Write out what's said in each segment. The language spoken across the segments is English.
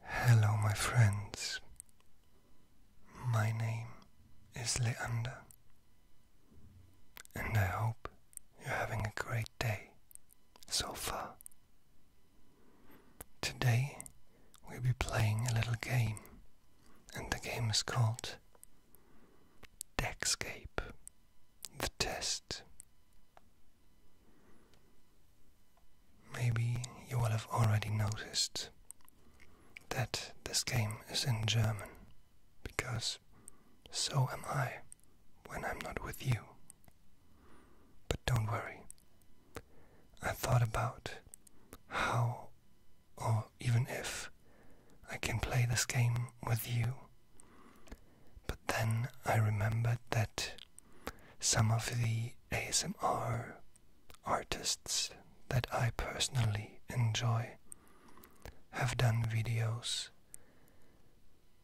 Hello, my friends. My name is Leander, and I hope you're having a great day so far. Today, we'll be playing a little game, and the game is called Deckscape the test. Maybe you will have already noticed that this game is in German, because so am I when I'm not with you. But don't worry, I thought about how or even if I can play this game with you but then I remembered that some of the ASMR artists that I personally enjoy have done videos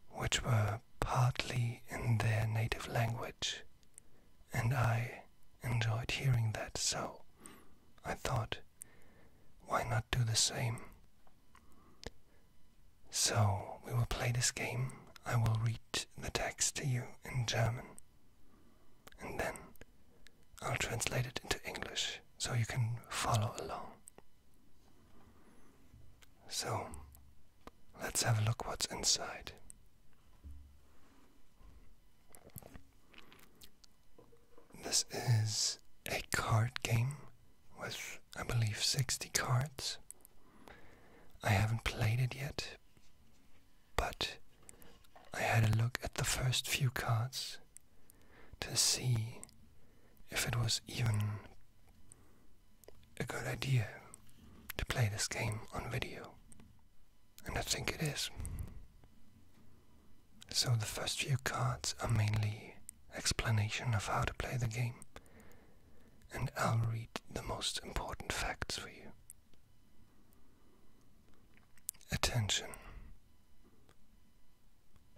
which were partly in their native language, and I enjoyed hearing that, so I thought, why not do the same? So we will play this game. I will read the text to you in German, and then I'll translate it into English so you can follow along. So let's have a look what's inside. This is a card game with, I believe, 60 cards. I haven't played it yet, but I had a look at the first few cards to see if it was even a good idea to play this game on video. And I think it is. So the first few cards are mainly explanation of how to play the game, and I'll read the most important facts for you. Attention.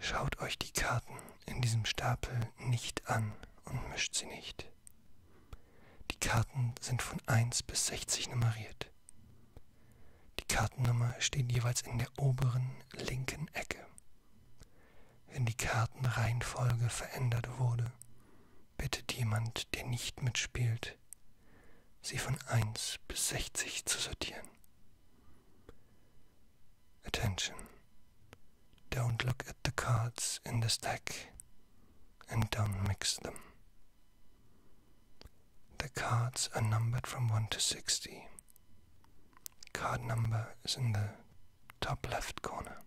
Schaut euch die Karten in diesem Stapel nicht an und mischt sie nicht. Die Karten sind von 1 bis 60 nummeriert. Die Kartennummer steht jeweils in der oberen linken Ecke. Wenn die Kartenreihenfolge verändert wurde, bittet jemand, der nicht mitspielt, sie von 1 bis 60 zu sortieren. Attention. Don't look at the cards in the stack and don't mix them. The cards are numbered from 1 to 60. Card number is in the top left corner.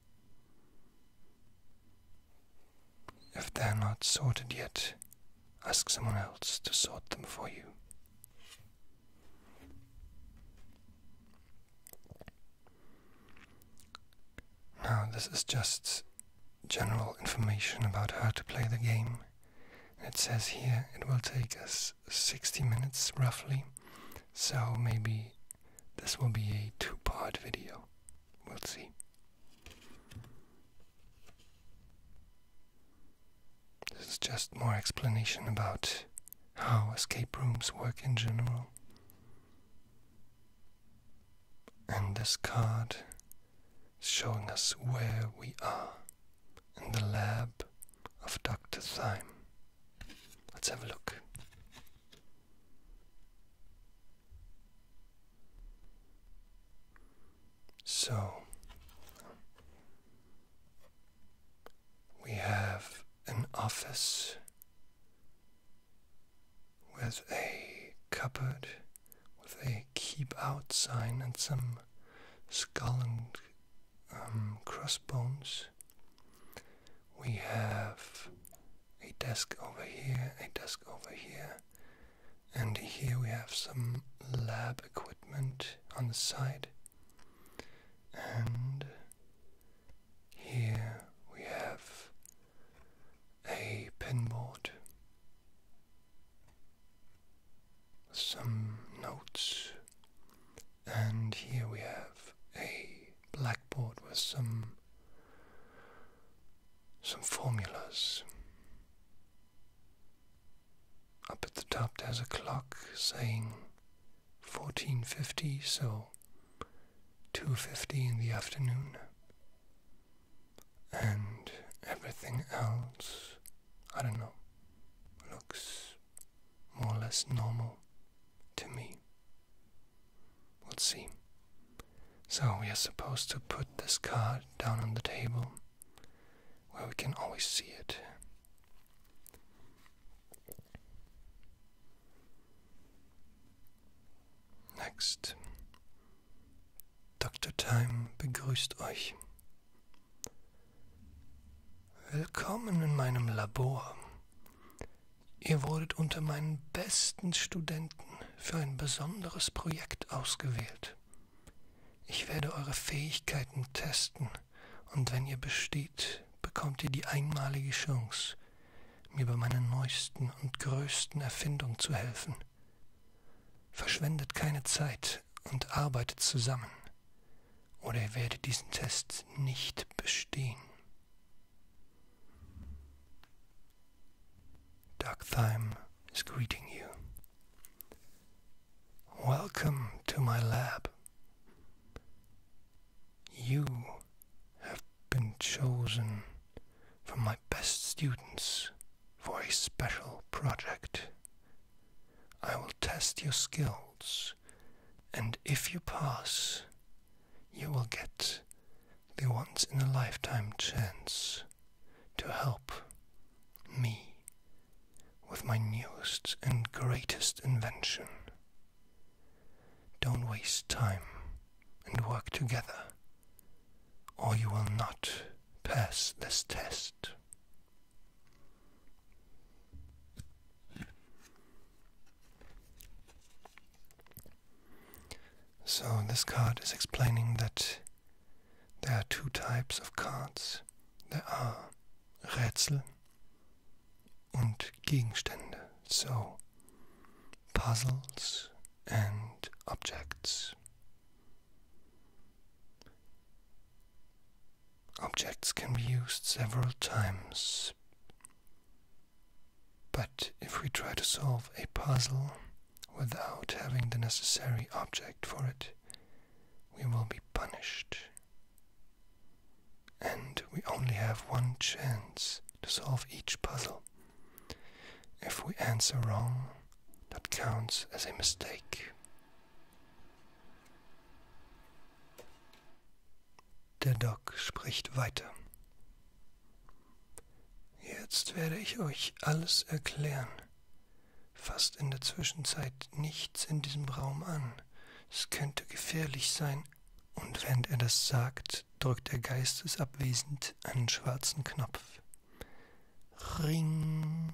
If they're not sorted yet, ask someone else to sort them for you. Now, this is just general information about how to play the game. It says here it will take us 60 minutes roughly, so maybe this will be a two part video. We'll see. This is just more explanation about how escape rooms work in general. And this card is showing us where we are in the lab of Dr. Thyme. Let's have a look. So, we have an office with a cupboard with a keep out sign and some skull and um, crossbones. We have a desk over here, a desk over here, and here we have some lab equipment on the side. And here we have a pinboard some notes, and here we have a blackboard with some some formulas. Up at the top there's a clock saying 1450, so 2.50 in the afternoon. And everything else, I don't know, looks more or less normal to me. We'll see. So we are supposed to put this card down on the table where we can always see it. Next. Dr. Time begrüßt euch. Willkommen in meinem Labor. Ihr wurdet unter meinen besten Studenten für ein besonderes Projekt ausgewählt. Ich werde eure Fähigkeiten testen und wenn ihr besteht, bekommt ihr die einmalige Chance, mir bei meiner neuesten und größten Erfindung zu helfen. Verschwendet keine Zeit mit und arbeitet zusammen, oder ihr werdet diesen Test nicht bestehen. Duck Thyme is greeting you. Welcome to my lab. You have been chosen from my best students for a special project. I will test your skill and if you pass, you will get the once in a lifetime chance to help me with my newest and greatest invention. Don't waste time and work together, or you will not pass this test. So, this card is explaining that there are two types of cards. There are Rätsel und Gegenstände, so puzzles and objects. Objects can be used several times. But if we try to solve a puzzle without having the necessary object for it, we will be punished. And we only have one chance to solve each puzzle. If we answer wrong, that counts as a mistake. Der Doc spricht weiter. Jetzt werde ich euch alles erklären. Fasst in der Zwischenzeit nichts in diesem Raum an. Es könnte gefährlich sein. Und während er das sagt, drückt er geistesabwesend einen schwarzen Knopf. Ring.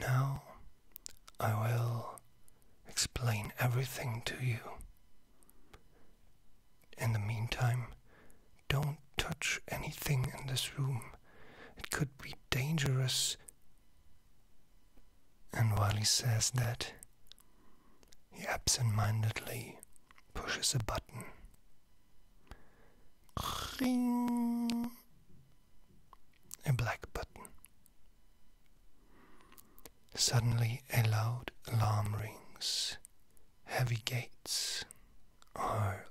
Now I will explain everything to you. In the meantime, don't touch anything in this room. It could be dangerous. And while he says that, he absent mindedly pushes a button. A black button. Suddenly a loud alarm rings. Heavy gates are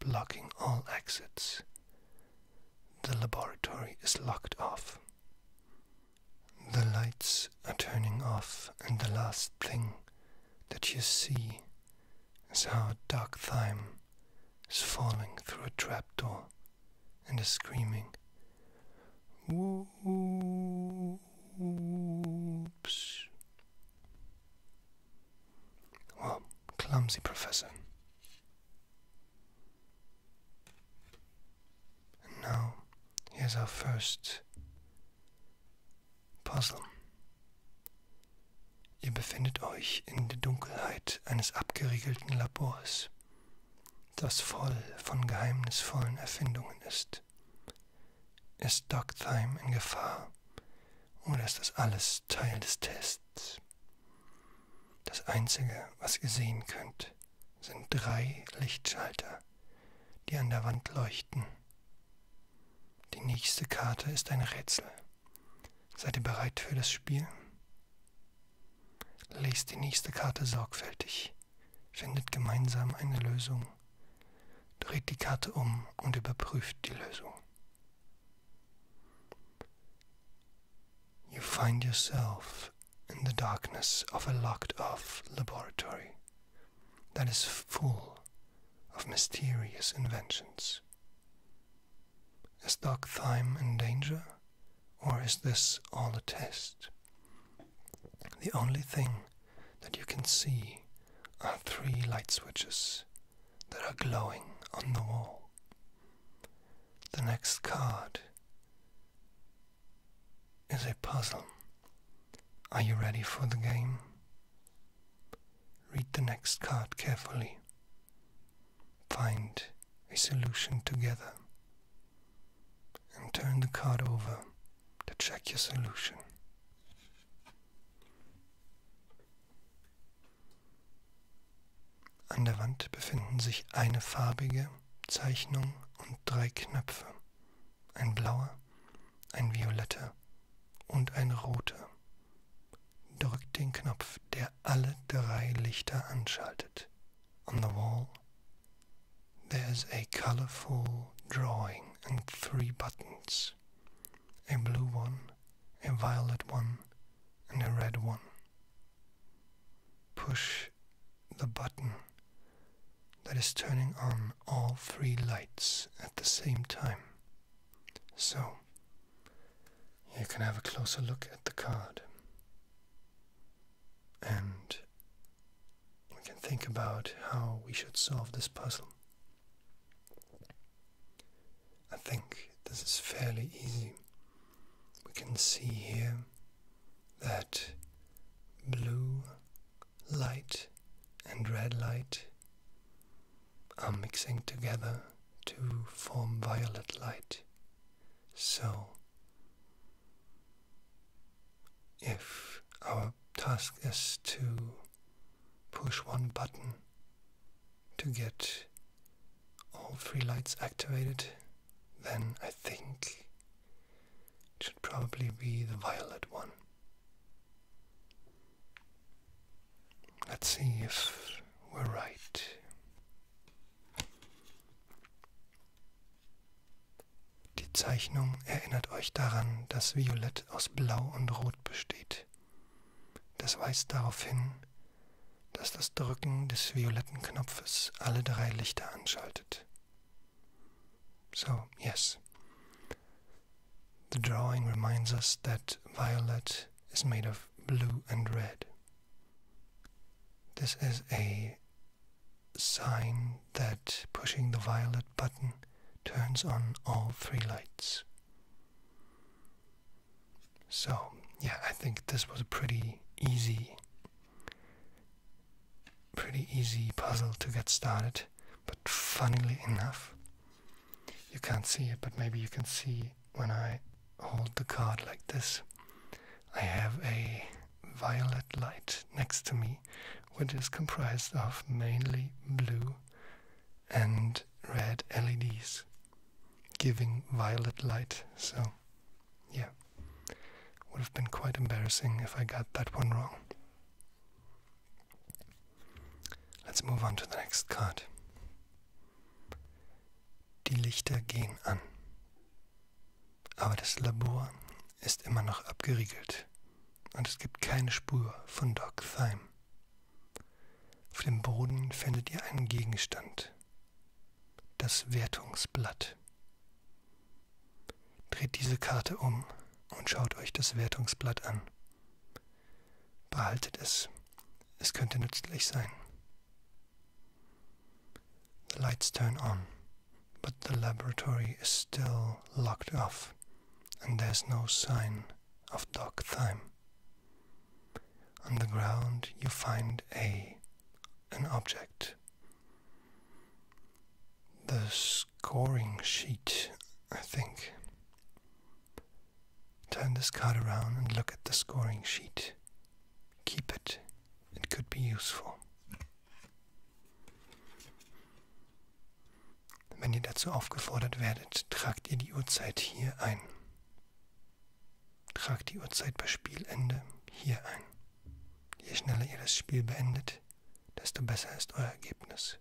blocking all exits. The laboratory is locked off. The lights are turning off, and the last thing that you see is how Dark Thyme is falling through a trapdoor and is screaming. Whoops. Well, clumsy professor. And now, here's our first Puzzle. Ihr befindet euch in der Dunkelheit eines abgeriegelten Labors, das voll von geheimnisvollen Erfindungen ist. Ist Doc Thyme in Gefahr oder ist das alles Teil des Tests? Das Einzige, was ihr sehen könnt, sind drei Lichtschalter, die an der Wand leuchten die nächste Karte ist ein Rätsel. Seid ihr bereit für das Spiel? Lest die nächste Karte sorgfältig, findet gemeinsam eine Lösung, dreht die Karte um und überprüft die Lösung. You find yourself in the darkness of a locked off laboratory. that is full of mysterious inventions. Is dark time in danger, or is this all a test? The only thing that you can see are three light switches that are glowing on the wall. The next card is a puzzle. Are you ready for the game? Read the next card carefully. Find a solution together and turn the card over to check your solution. An der Wand befinden sich eine farbige Zeichnung und drei Knöpfe, ein blauer, ein violette und eine rote. Drückt den Knopf, der alle drei Lichter anschaltet. On the wall, there's a colorful drawing and three buttons. A blue one, a violet one, and a red one. Push the button that is turning on all three lights at the same time. So, you can have a closer look at the card. And we can think about how we should solve this puzzle. I think this is fairly easy. We can see here that blue light and red light are mixing together to form violet light. So, if our task is to push one button to get all three lights activated, then I think it should probably be the violet one. Let's see if we're right. Die Zeichnung erinnert euch daran, dass Violett aus Blau und Rot besteht. Das weist darauf hin, dass das Drücken des violetten Knopfes alle drei Lichter anschaltet. So, yes, The drawing reminds us that violet is made of blue and red. This is a sign that pushing the violet button turns on all three lights. So, yeah, I think this was a pretty easy pretty easy puzzle to get started. But funnily enough, you can't see it, but maybe you can see when I hold the card like this. I have a violet light next to me, which is comprised of mainly blue and red LEDs, giving violet light. So, yeah, would have been quite embarrassing if I got that one wrong. Let's move on to the next card. Die Lichter gehen an. Aber das Labor ist immer noch abgeriegelt und es gibt keine Spur von Doc Thyme. Auf dem Boden findet ihr einen Gegenstand. Das Wertungsblatt. Dreht diese Karte um und schaut euch das Wertungsblatt an. Behaltet es. Es könnte nützlich sein. The lights turn on, but the laboratory is still locked off, and there's no sign of dark time. On the ground you find a an object. The scoring sheet, I think. Turn this card around and look at the scoring sheet. Keep it, it could be useful. Wenn ihr dazu aufgefordert werdet, tragt ihr die Uhrzeit hier ein. Tragt die Uhrzeit bei Spielende hier ein. Je schneller ihr das Spiel beendet, desto besser ist euer Ergebnis.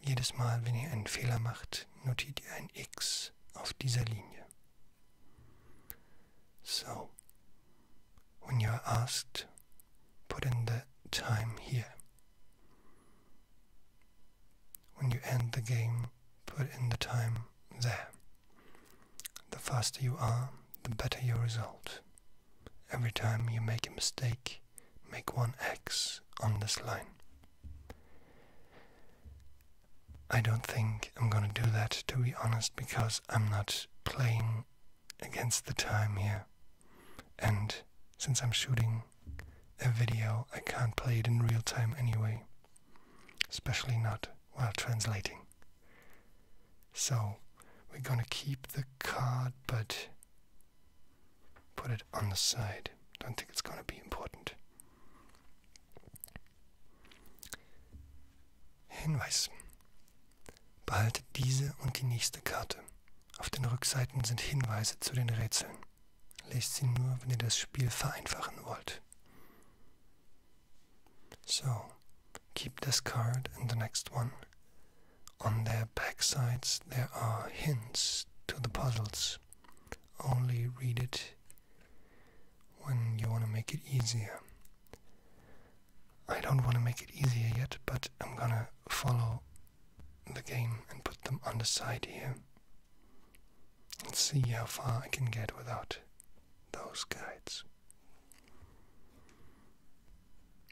Jedes Mal, wenn ihr einen Fehler macht, notiert ihr ein X auf dieser Linie. So, when you are asked, put in the time here. When you end the game, put in the time there. The faster you are, the better your result. Every time you make a mistake, make one X on this line. I don't think I'm gonna do that to be honest because I'm not playing against the time here. And since I'm shooting a video, I can't play it in real time anyway, especially not while translating. So we're gonna keep the card, but Put it on the side. Don't think it's going to be important. Hinweis. Behaltet diese und die nächste Karte. Auf den Rückseiten sind Hinweise zu den Rätseln. Lest sie nur, wenn ihr das Spiel vereinfachen wollt. So, keep this card and the next one. On their backsides there are hints to the puzzles. Only read it when you want to make it easier. I don't want to make it easier yet, but I'm gonna follow the game and put them on the side here. and see how far I can get without those guides.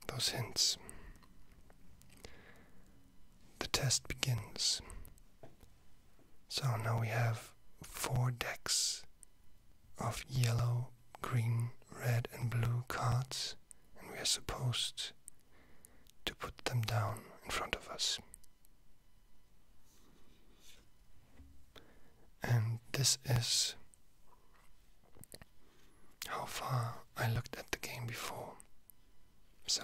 Those hints the test begins. So now we have four decks of yellow, green, red, and blue cards, and we are supposed to put them down in front of us. And this is how far I looked at the game before. So,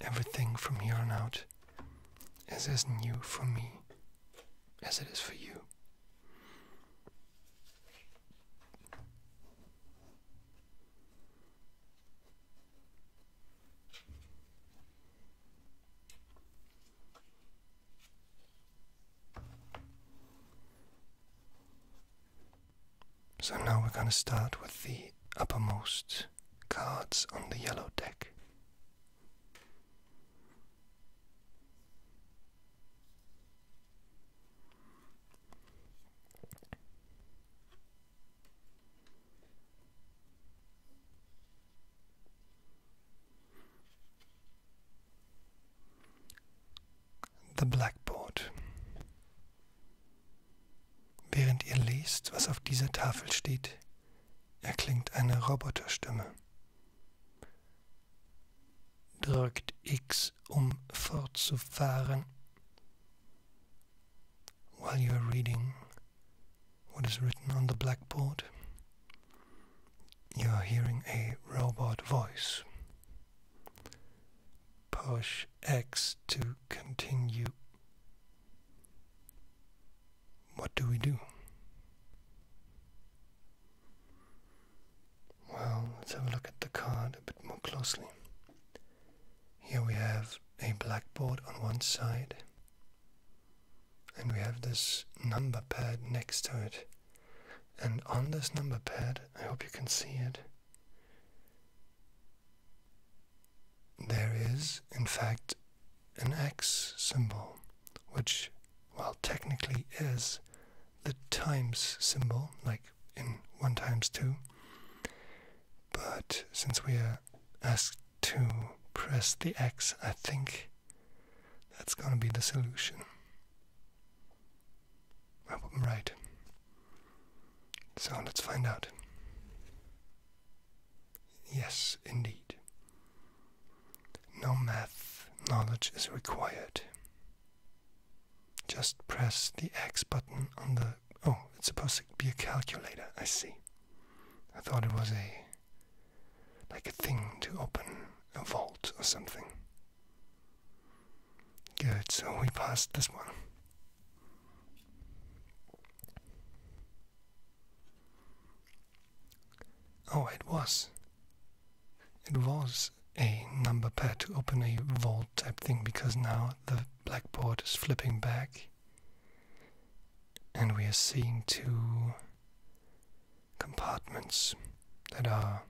everything from here on out is as new for me as it is for you. So now we're going to start with the uppermost cards on the yellow deck the blackboard. Während ihr lest, was auf dieser Tafel steht, erklingt eine Roboterstimme. Drückt X, um fortzufahren. While you are reading what is written on the blackboard, you are hearing a robot voice. Push X to continue. What do we do? Well, let's have a look at the card a bit more closely. Here we have a blackboard on one side, and we have this number pad next to it. And on this number pad, I hope you can see it, there is, in fact, an X symbol, which, while technically is the times symbol, like in 1 times 2, but since we are asked to press the X, I think that's going to be the solution. I am right. So let's find out. Yes, indeed. No math knowledge is required. Just press the X button on the. Oh, it's supposed to be a calculator, I see. I thought it was a. like a thing to open a vault or something. Good, so we passed this one. Oh, it was. It was a number pad to open a vault type thing because now the blackboard is flipping back and we are seeing two compartments that are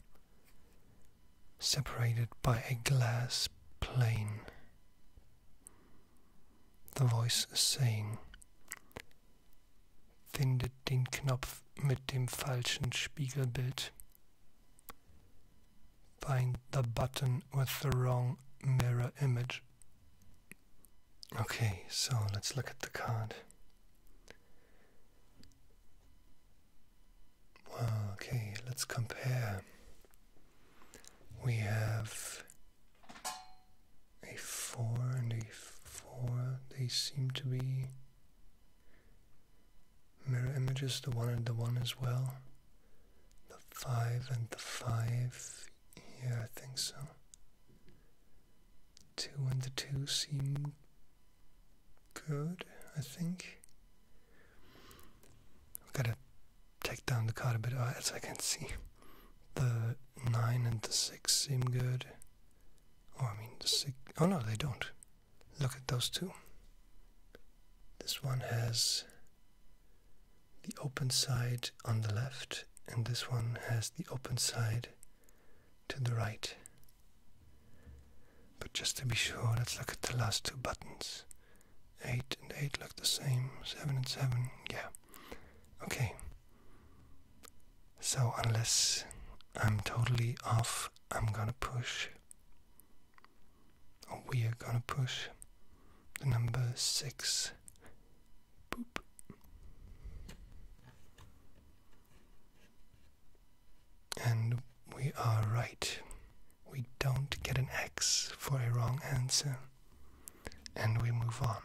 separated by a glass plane. The voice is saying, Findet den Knopf mit dem falschen Spiegelbild. Find the button with the wrong mirror image. Okay, so let's look at the card okay, let's compare. We have a 4 and a 4. They seem to be mirror images, the 1 and the 1 as well. The 5 and the 5. Yeah, I think so. 2 and the 2 seem good, I think. I've got to take down the card a bit uh, as I can see. The 9 and the 6 seem good. Or, oh, I mean, the 6. Oh no, they don't. Look at those two. This one has the open side on the left, and this one has the open side to the right. But just to be sure, let's look at the last two buttons. 8 and 8 look the same, 7 and 7, yeah. Okay. So, unless I'm totally off, I'm gonna push, or we are gonna push, the number 6. Boop. And we are right. We don't get an X for a wrong answer. And we move on.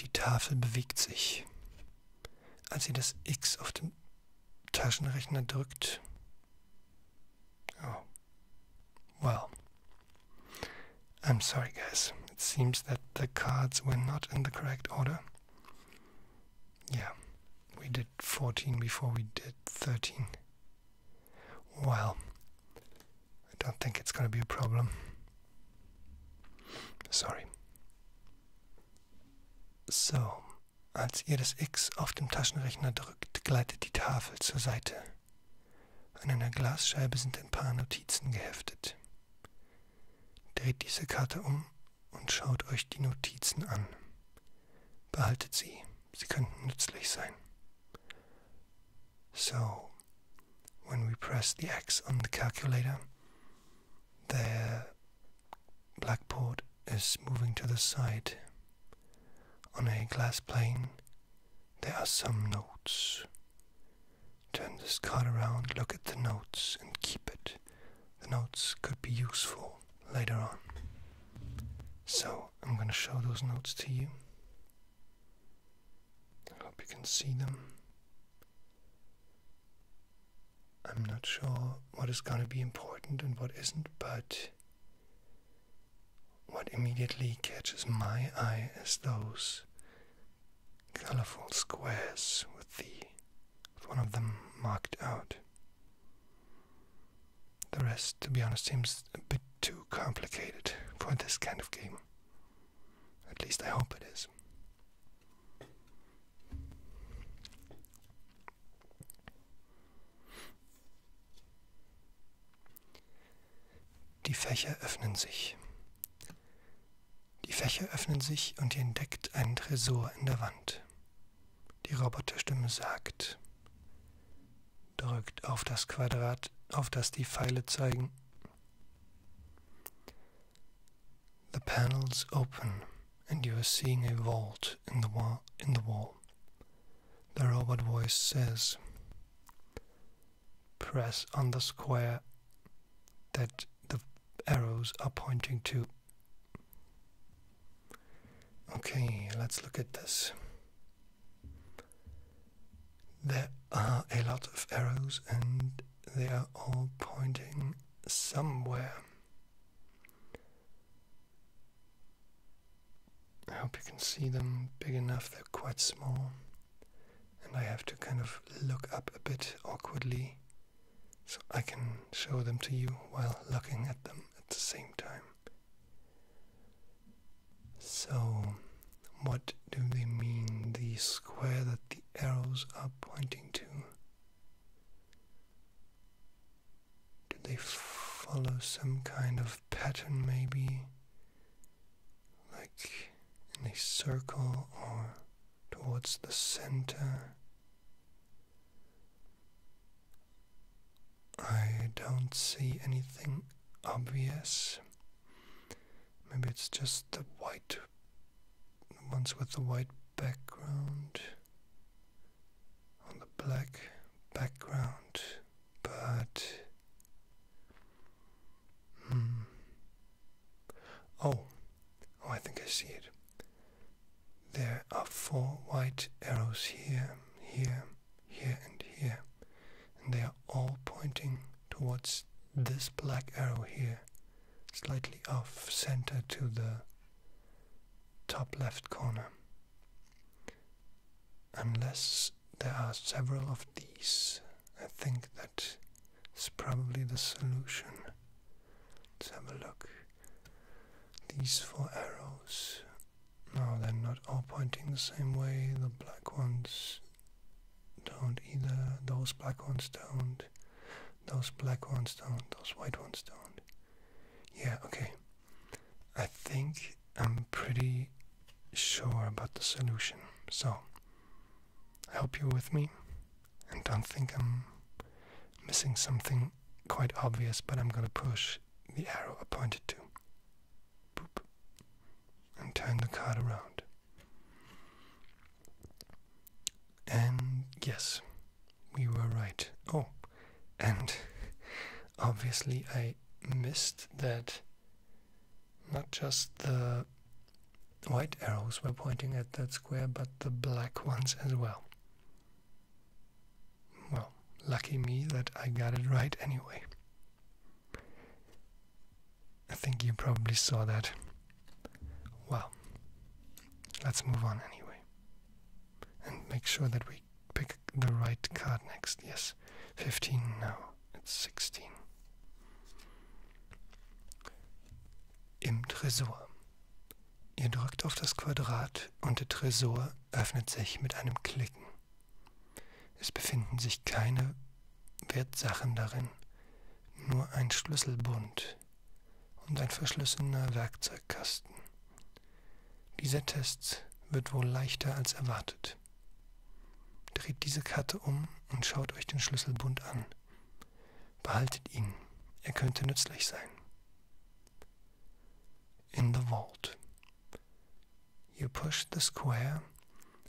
Die Tafel bewegt sich. Als sie das X auf dem Taschenrechner drückt. Oh, Well, I'm sorry, guys. It seems that the cards were not in the correct order. Yeah, we did 14 before we did 13. Well, I don't think it's going to be a problem. Sorry. So, als ihr das X auf dem Taschenrechner drückt, gleitet die Tafel zur Seite. An einer Glasscheibe sind ein paar Notizen geheftet. Dreht diese Karte um und schaut euch die Notizen an. Behaltet sie, sie könnten nützlich sein. So, when we press the X on the calculator, the blackboard is moving to the side. On a glass plane, There are some notes. Turn this card around, look at the notes, and keep it. The notes could be useful later on. So, I'm gonna show those notes to you. I hope you can see them. I'm not sure what is gonna be important and what isn't, but what immediately catches my eye is those colorful squares with the with one of them marked out. The rest, to be honest, seems a bit too complicated for this kind of game. At least I hope it is. Die Fächer öffnen sich. Die Fächer öffnen sich und ihr entdeckt einen Tresor in der Wand. Die Roboterstimme sagt, drückt auf das Quadrat, auf das die Pfeile zeigen. The panels open and you are seeing a vault in the wall in the wall. The robot voice says press on the square that the arrows are pointing to. Okay, let's look at this. There are a lot of arrows and they are all pointing somewhere. I hope you can see them big enough, they're quite small and I have to kind of look up a bit awkwardly so I can show them to you while looking at them at the same time. So, what do they mean, the square that the arrows are pointing to? Do they follow some kind of pattern, maybe? like in a circle or towards the center. I don't see anything obvious. Maybe it's just the white ones with the white background on the black background but mm, oh, oh, I think I see it. There are four white arrows here, here, here, and here, and they are all pointing towards this black arrow here, slightly off center to the top left corner unless there are several of these, I think that is probably the solution. Let's have a look. These four arrows. No, they're not all pointing the same way. The black ones don't either. Those black ones don't. Those black ones don't. Those white ones don't. Yeah, okay. I think I'm pretty sure about the solution. So, Help you with me and don't think I'm missing something quite obvious, but I'm going to push the arrow I pointed to. Boop. And turn the card around. And yes, we were right. Oh, and obviously I missed that not just the white arrows were pointing at that square, but the black ones as well. Well, lucky me that I got it right anyway. I think you probably saw that. Well, let's move on anyway. And make sure that we pick the right card next. Yes, 15 now. it's 16. Im Tresor. Ihr drückt auf das Quadrat und der Tresor öffnet sich mit einem Klicken. Es befinden sich keine Wertsachen darin, nur ein Schlüsselbund und ein verschlüsselnder Werkzeugkasten. Dieser Test wird wohl leichter als erwartet. Dreht diese Karte um und schaut euch den Schlüsselbund an. Behaltet ihn, er könnte nützlich sein. In the vault. You push the square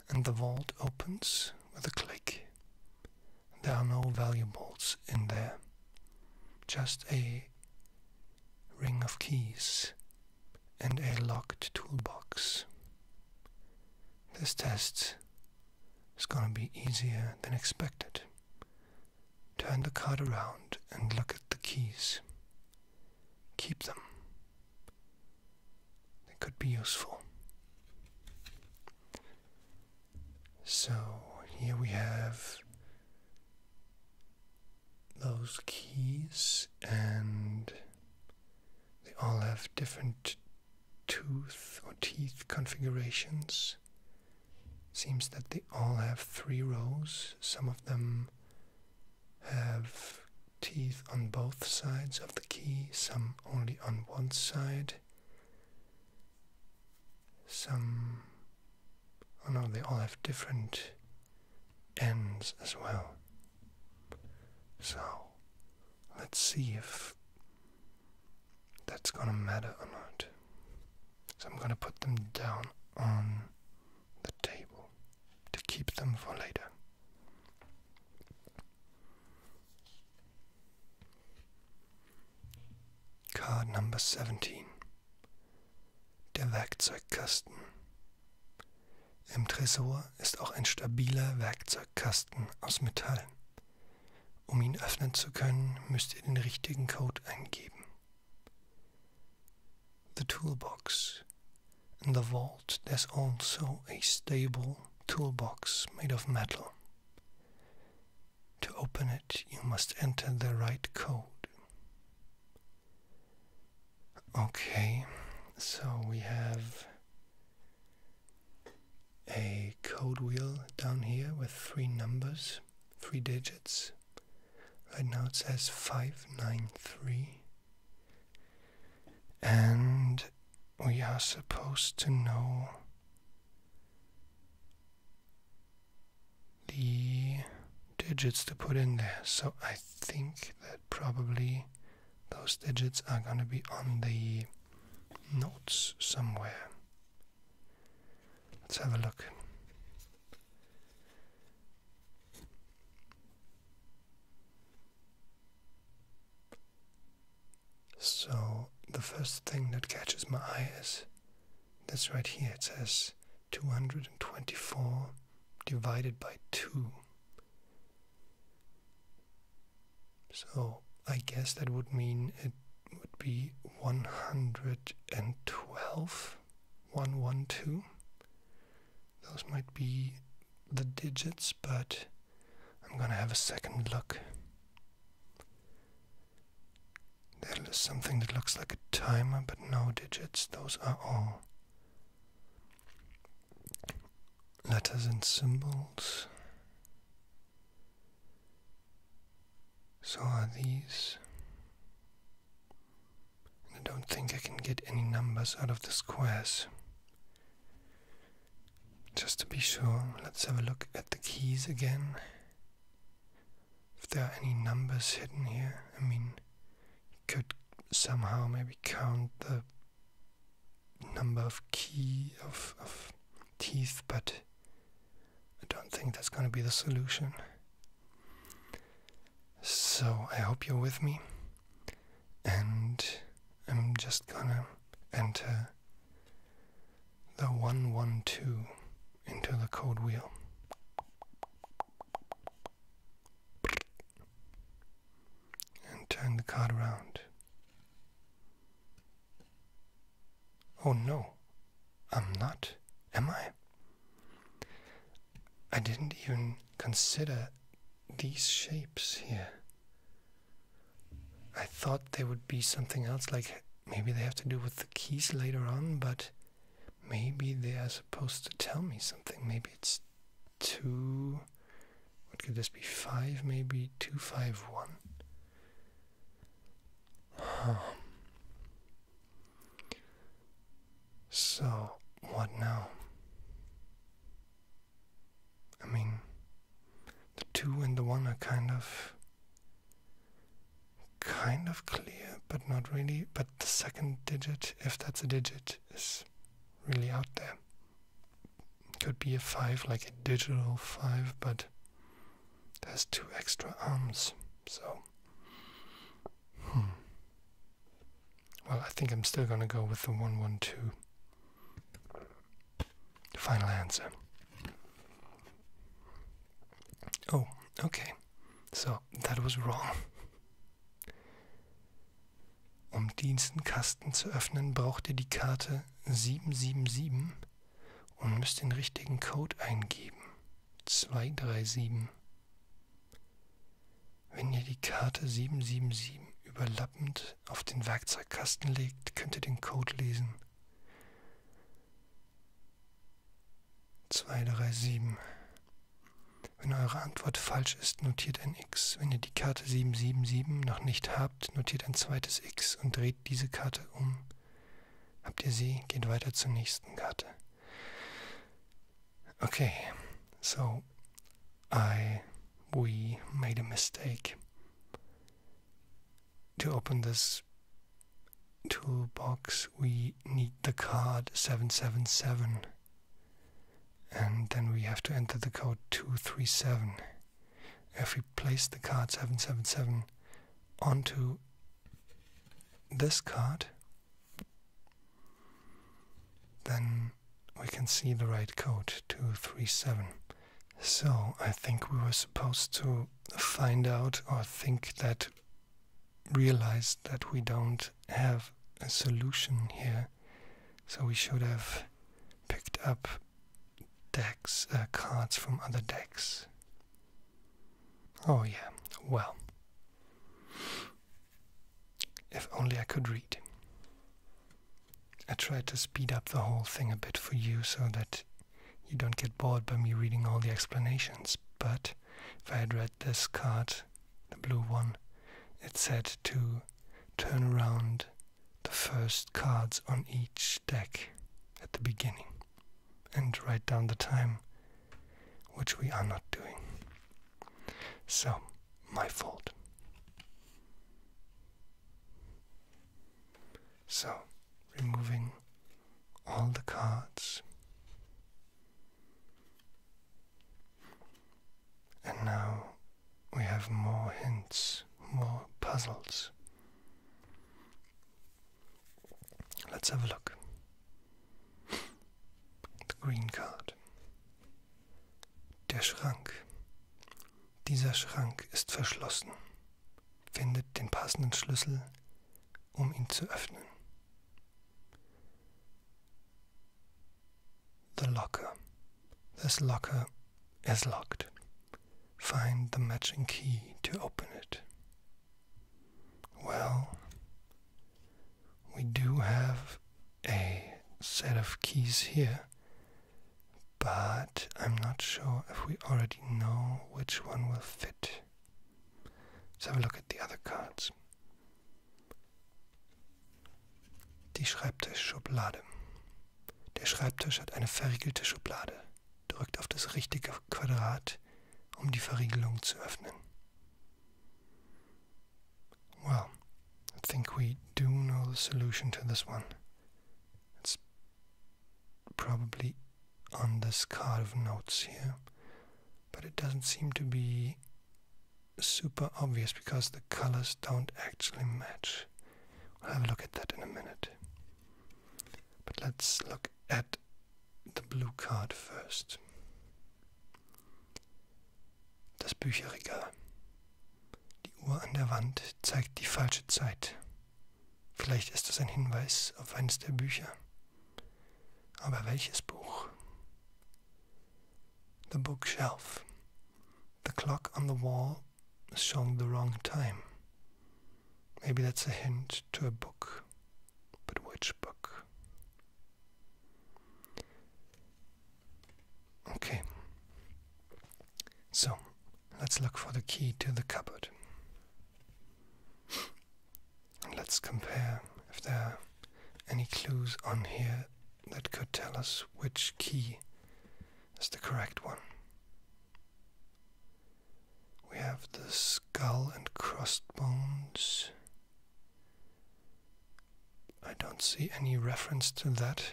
and the vault opens with a click. There are no valuables in there, just a ring of keys and a locked toolbox. This test is going to be easier than expected. Turn the card around and look at the keys. Keep them. They could be useful. So here we have those keys and they all have different tooth or teeth configurations. Seems that they all have three rows. Some of them have teeth on both sides of the key, some only on one side. Some, oh no, they all have different ends as well. So, let's see if that's gonna matter or not. So, I'm gonna put them down on the table to keep them for later. Card number 17 Der Werkzeugkasten. Im Tresor ist auch ein stabiler Werkzeugkasten aus Metall. Um ihn öffnen zu können, müsst ihr den richtigen Code eingeben. The Toolbox. In the vault there's also a stable toolbox made of metal. To open it, you must enter the right code. Okay, so we have a code wheel down here with three numbers, three digits. Right now it says 593. And we are supposed to know the digits to put in there. So I think that probably those digits are going to be on the notes somewhere. Let's have a look. So, the first thing that catches my eye is this right here. It says 224 divided by 2. So I guess that would mean it would be 112, 112. Those might be the digits, but I'm gonna have a second look. That is something that looks like a timer, but no digits. Those are all letters and symbols. So are these. I don't think I can get any numbers out of the squares. Just to be sure, let's have a look at the keys again. If there are any numbers hidden here, I mean, you could somehow maybe count the number of key of, of teeth, but I don't think that's going to be the solution. So I hope you're with me, and I'm just gonna enter the 112 into the code wheel and turn the card around. Oh no, I'm not, am I? I didn't even consider these shapes here. I thought there would be something else, like maybe they have to do with the keys later on, but maybe they are supposed to tell me something. Maybe it's two what could this be? 5, maybe? 251? So, what now? I mean, the 2 and the 1 are kind of. kind of clear, but not really. But the second digit, if that's a digit, is really out there could be a 5 like a digital 5 but has two extra arms so hmm. well i think i'm still going to go with the 112 final answer oh okay so that was wrong Um diesen Kasten zu öffnen, braucht ihr die Karte 777 und müsst den richtigen Code eingeben. 237. Wenn ihr die Karte 777 überlappend auf den Werkzeugkasten legt, könnt ihr den Code lesen. 237. Wenn eure Antwort falsch ist, notiert ein X. Wenn ihr die Karte 777 noch nicht habt, notiert ein zweites X und dreht diese Karte um. Habt ihr sie, geht weiter zur nächsten Karte. Okay, so I, we made a mistake to open this toolbox we need the card 777 and then we have to enter the code 237. If we place the card 777 onto this card, then we can see the right code 237. So I think we were supposed to find out or think that, realize that we don't have a solution here so we should have picked up decks, uh, cards from other decks. Oh yeah, well. If only I could read. I tried to speed up the whole thing a bit for you so that you don't get bored by me reading all the explanations, but if I had read this card, the blue one, it said to turn around the first cards on each deck at the beginning and write down the time, which we are not doing. So, my fault. So, removing all the cards. And now we have more hints, more puzzles. Let's have a look. The green card. Der Schrank. Dieser Schrank ist verschlossen. Findet den passenden Schlüssel, um ihn zu öffnen. the locker. This locker is locked. Find the matching key to open it. Well, we do have a set of keys here, but I'm not sure if we already know which one will fit. Let's have a look at the other cards. Die Schreibtischschublade. Der Schreibtisch hat eine verriegelte Schublade. Drückt auf das richtige Quadrat, um die Verriegelung zu öffnen. Well, I think we do know the solution to this one. It's probably on this card of notes here, but it doesn't seem to be super obvious because the colors don't actually match. We'll have a look at that in a minute. But let's look at the blue card first. Das Bücherregal. Die Uhr an der Wand zeigt die falsche Zeit. Vielleicht ist das ein Hinweis auf eines der Bücher. Aber welches Buch? The bookshelf. The clock on the wall is showing the wrong time. Maybe that's a hint to a book, but which book? Okay, so let's look for the key to the cupboard. And let's compare if there are any clues on here that could tell us which key is the correct one. We have the skull and crossed bones. I don't see any reference to that.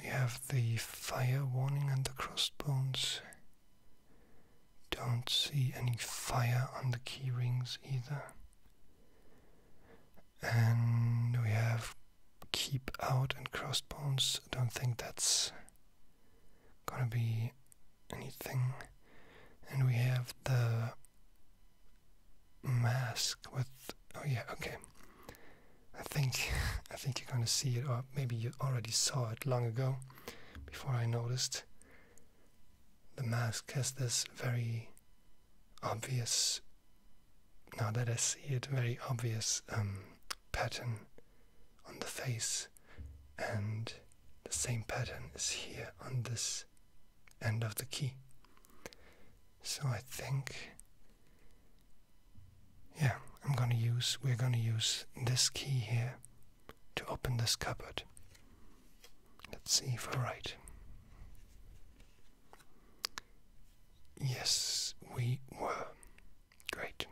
We have the fire warning and the crossed bones. Don't see any fire on the key rings either. And we have keep out and crossbones. I don't think that's gonna be anything. And we have the mask with oh yeah, okay. I think I think you're gonna see it or maybe you already saw it long ago before I noticed. The mask has this very obvious, now that I see it, very obvious um, pattern on the face, and the same pattern is here on this end of the key. So I think, yeah, I'm gonna use, we're gonna use this key here to open this cupboard. Let's see if i are right. Yes, we were. Great.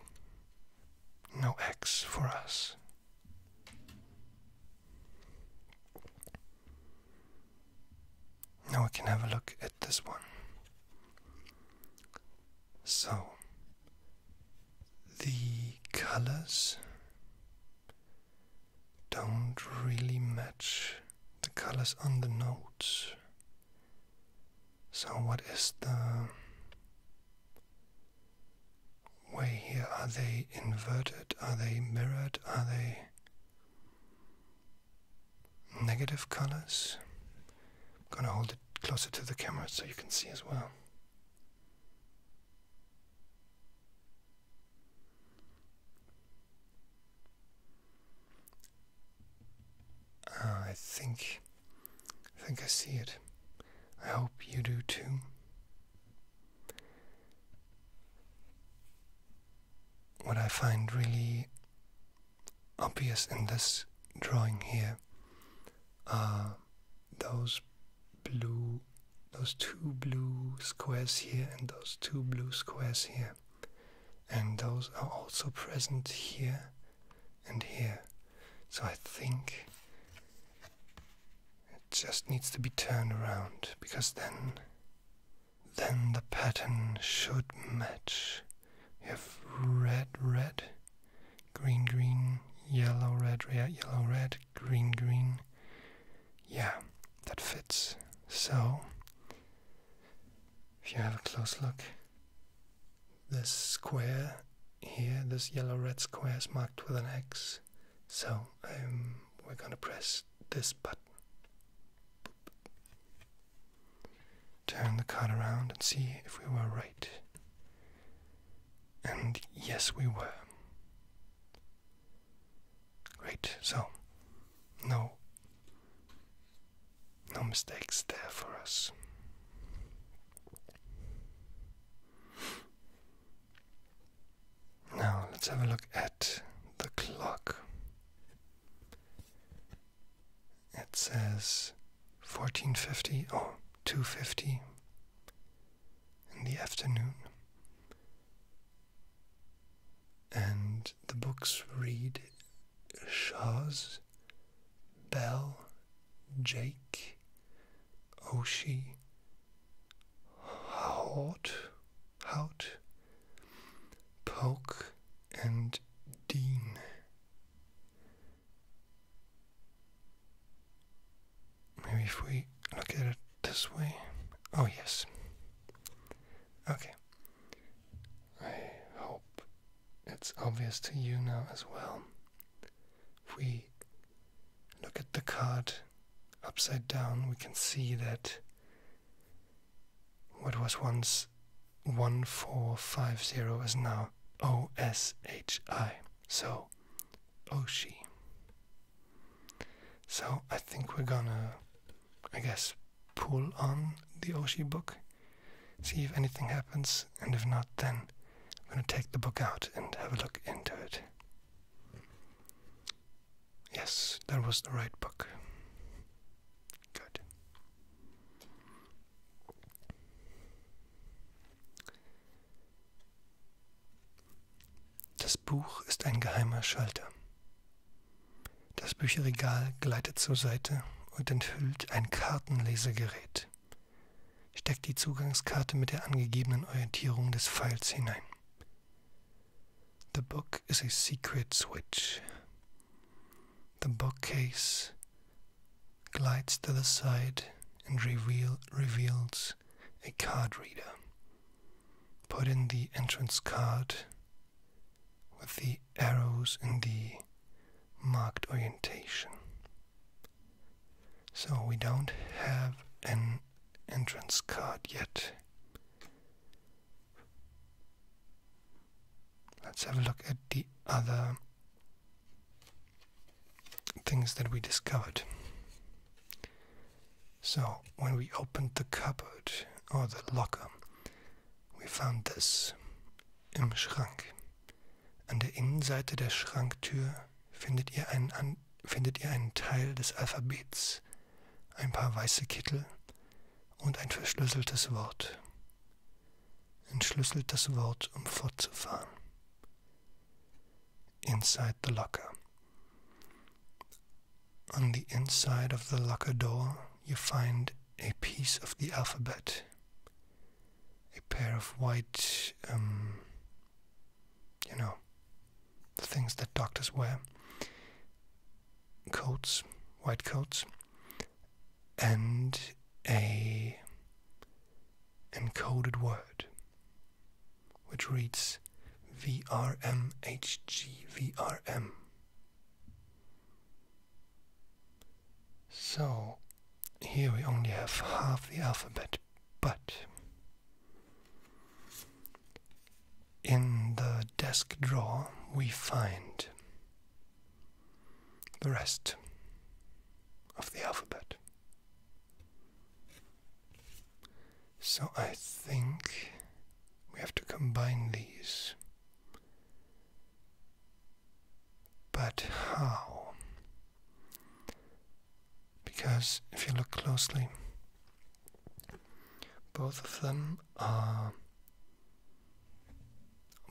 No X for us. Now we can have a look at this one. So, the colors don't really match the colors on the notes. So, what is the way here? Are they inverted? Are they mirrored? Are they negative colors? I'm gonna hold it closer to the camera so you can see as well. Ah, I think, I think I see it. I hope you do too. What I find really obvious in this drawing here are those blue, those two blue squares here and those two blue squares here and those are also present here and here. So I think it just needs to be turned around because then then the pattern should match. If red, red, green, green, yellow, red, red, yellow, red, green, green. Yeah, that fits. So if you have a close look, this square here, this yellow red square is marked with an X. So um, we're going to press this button. Turn the card around and see if we were right. And yes, we were. Great, so no. No mistakes there for us. Now let's have a look at the clock. It says 1450 or 250 in the afternoon and the books read Shaz, Bell, Jake, Oshie, Hout, Hout, Poke, and Dean. Maybe if we look at it this way. Oh, yes. Okay. I hope it's obvious to you now as well. If we look at the card upside down, we can see that what was once 1450 is now OSHI. So, Oshi. So, I think we're gonna I guess, pull on the Oshi book, see if anything happens, and if not, then I'm going to take the book out and have a look into it. Yes, that was the right book. Good. Das Buch ist ein geheimer Schalter. Das Bücherregal gleitet zur Seite und enthüllt ein Kartenlesegerät. Steckt die Zugangskarte mit der angegebenen Orientierung des Pfeils hinein. The book is a secret switch. The bookcase glides to the side and reveal, reveals a card reader. Put in the entrance card with the arrows in the marked orientation. So we don't have an entrance card yet. Let's have a look at the other things that we discovered. So, when we opened the cupboard or the locker, We found this im Schrank. An der Innenseite der Schranktür findet ihr einen, An findet ihr einen Teil des Alphabets, ein paar weiße Kittel und ein verschlüsseltes Wort. Entschlüsselt das Wort, um fortzufahren. Inside the locker. On the inside of the locker door you find a piece of the alphabet, a pair of white, um, you know, things that doctors wear coats, white coats, and a encoded word which reads VRMHGVRM. So here we only have half the alphabet, but in the desk drawer we find the rest of the alphabet. So I think we have to combine these. But how? Because if you look closely, both of them are.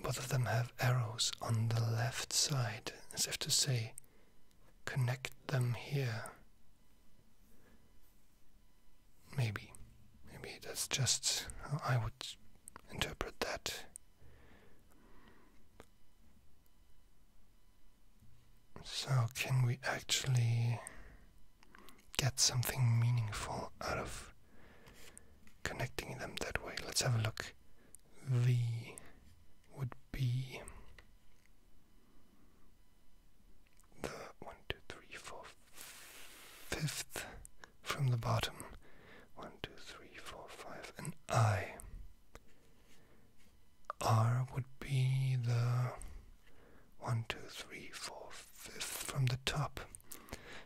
Both of them have arrows on the left side, as if to say, connect them here. Maybe. Maybe that's just how I would interpret that. So, can we actually get something meaningful out of connecting them that way? Let's have a look. V would be the one, two, three, four, fifth from the bottom. One, two, three, four, five, and I. R would be the one, two, three, four, fifth from the top.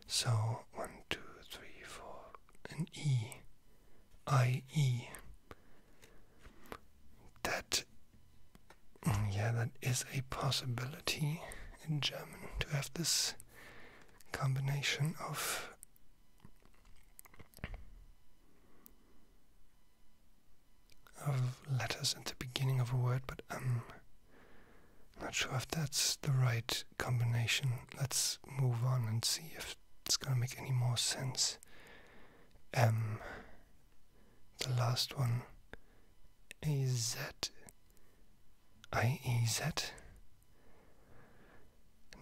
So one, two, three, four, and E. I E. That yeah, that is a possibility in German to have this combination of of letters at the beginning of a word, but I'm um, not sure if that's the right combination. Let's move on and see if it's gonna make any more sense. Um, the last one, A Z IEZ?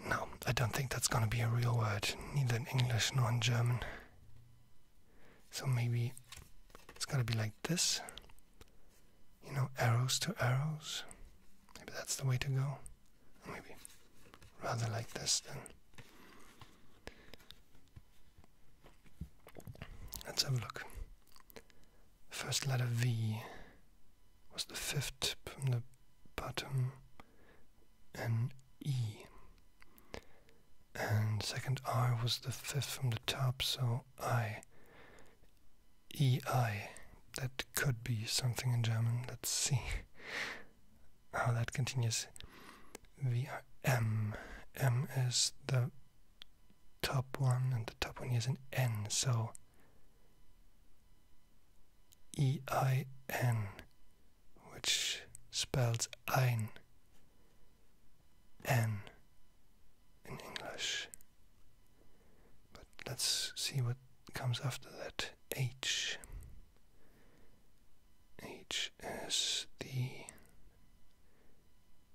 No, I don't think that's gonna be a real word, neither in English nor in German. So maybe it's going to be like this. You know, arrows to arrows. Maybe that's the way to go. Maybe rather like this then. Let's have a look. First letter V was the fifth from the bottom, and E. And second R was the fifth from the top, so I E I. That could be something in German. Let's see how that continues. We is the top one, and the top one is an N, so E I N, which spells ein, N in English. But let's see what comes after that. H H S D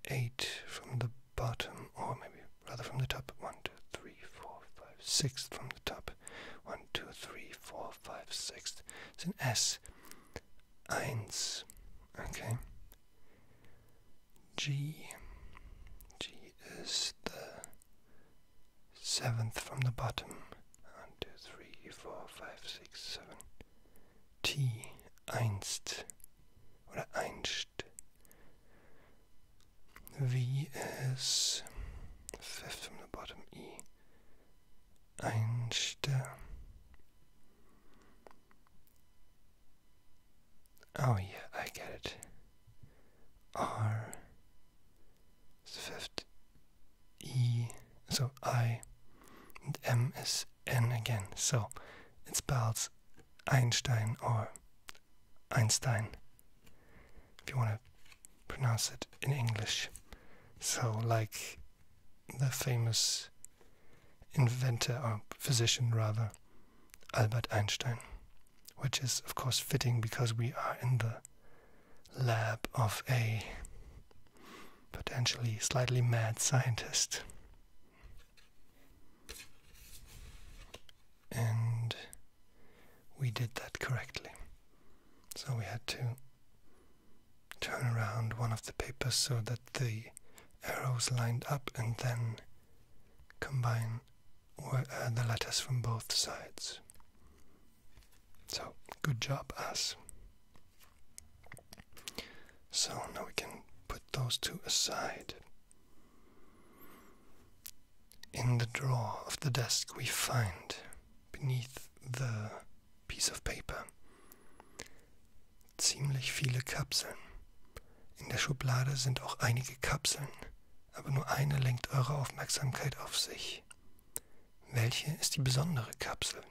eight from the bottom, or maybe rather from the top. One, two, three, four, five, six from the top. One, two, three, four, five, six. It's an S. Eins. Okay. G. G is the seventh from the bottom. One, two, three, four, five, six, seven. T. Einst oder einst, fifth from the bottom E einst äh, Oh yeah, I get it. R is fifth E so I and M is and again. So it spells Einstein or Einstein if you want to pronounce it in English. So, like the famous inventor or physician, rather, Albert Einstein, which is, of course, fitting because we are in the lab of a potentially slightly mad scientist. And we did that correctly. So we had to turn around one of the papers so that the arrows lined up and then combine uh, the letters from both sides. So, good job, us. So now we can put those two aside. In the drawer of the desk, we find beneath the piece of paper ziemlich viele Kapseln. In der Schublade sind auch einige Kapseln, aber nur eine lenkt eure Aufmerksamkeit auf sich. Welche ist die besondere Kapsel?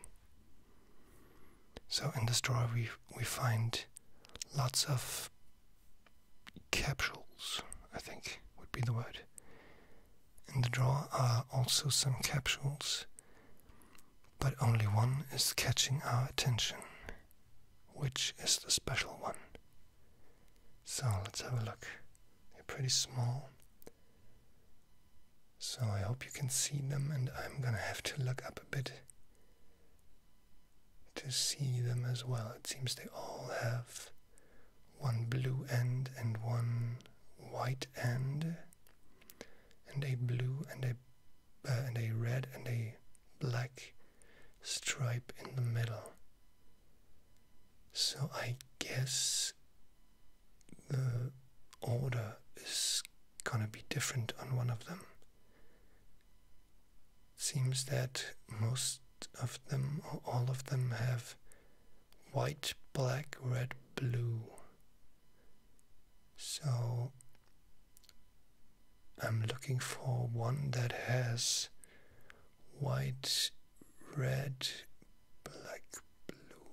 So in this drawer we we find lots of capsules, I think would be the word. In the drawer are also some capsules, but only one is catching our attention, which is the special one. So let's have a look. They're pretty small. So I hope you can see them, and I'm gonna have to look up a bit to see them as well. It seems they all have one blue end and one white end, and a blue and a uh, and a red and a black stripe in the middle. So I guess the order is gonna be different on one of them seems that most of them, or all of them, have white, black, red, blue. So I'm looking for one that has white, red, black, blue.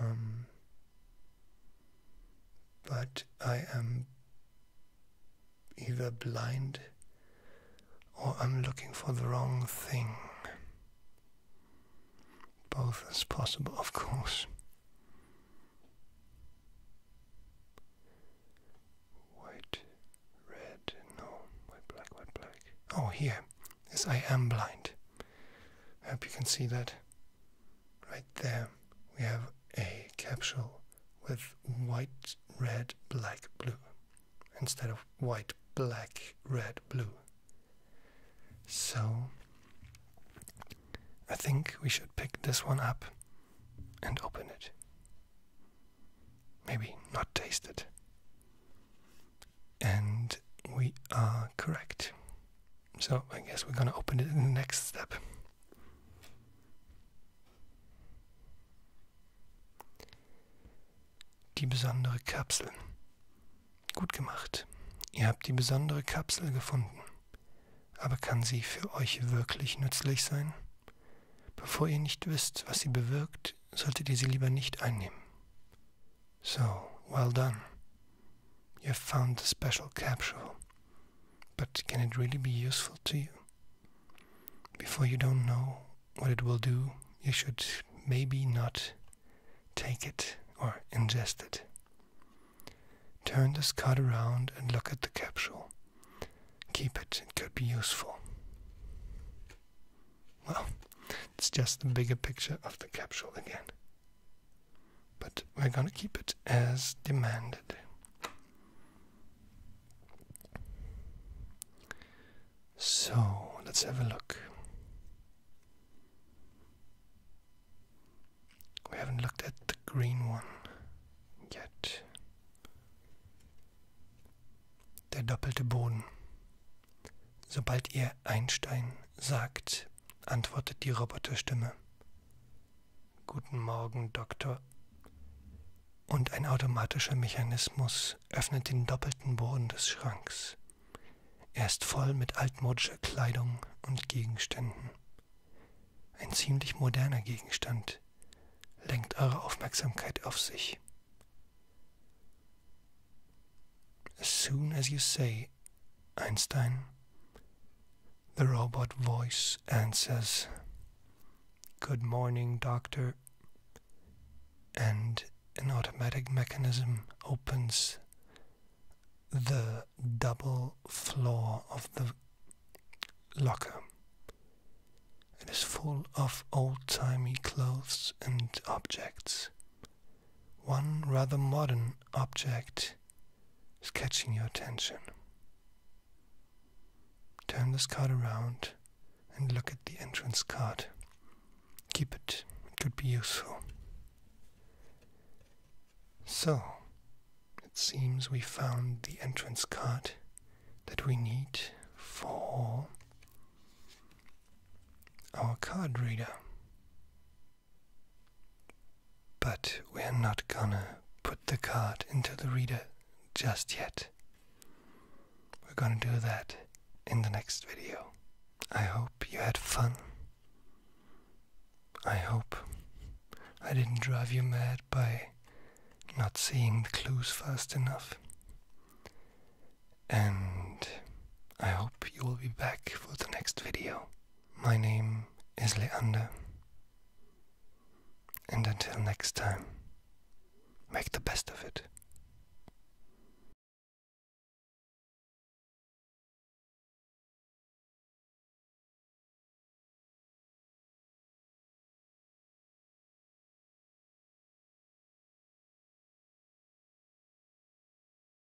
Um, but I am either blind or I'm looking for the wrong thing. Both is possible, of course. White, red, no, white, black, white, black. Oh, here. Yes, I am blind. I hope you can see that. Right there, we have a capsule with white, red, black, blue instead of white, black, red, blue. So, I think we should pick this one up and open it. Maybe not taste it. And we are correct. So I guess we're going to open it in the next step. Die besondere Kapsel. Gut gemacht. Ihr habt die besondere Kapsel gefunden. Aber kann sie für euch wirklich nützlich sein? Bevor ihr nicht wisst, was sie bewirkt, solltet ihr sie lieber nicht einnehmen. So, well done. You have found the special capsule, but can it really be useful to you? Before you don't know what it will do, you should maybe not take it or ingest it. Turn this card around and look at the capsule. Keep it, it could be useful. Well, it's just the bigger picture of the capsule again but we're gonna keep it as demanded. So let's have a look. We haven't looked at the green one yet. Der doppelte Boden. Sobald ihr Einstein sagt, antwortet die Roboterstimme. Guten Morgen, Doktor. Und ein automatischer Mechanismus öffnet den doppelten Boden des Schranks. Er ist voll mit altmodischer Kleidung und Gegenständen. Ein ziemlich moderner Gegenstand lenkt eure Aufmerksamkeit auf sich. As soon as you say Einstein. The robot voice answers, Good morning, doctor. And an automatic mechanism opens the double floor of the locker. It is full of old timey clothes and objects one rather modern object is catching your attention. Turn this card around and look at the entrance card. Keep it, it could be useful. So, it seems we found the entrance card that we need for our card reader. But we're not gonna put the card into the reader just yet. We're gonna do that in the next video. I hope you had fun. I hope I didn't drive you mad by not seeing the clues fast enough. And I hope you will be back for the next video. My name is Leander, and until next time, make the best of it.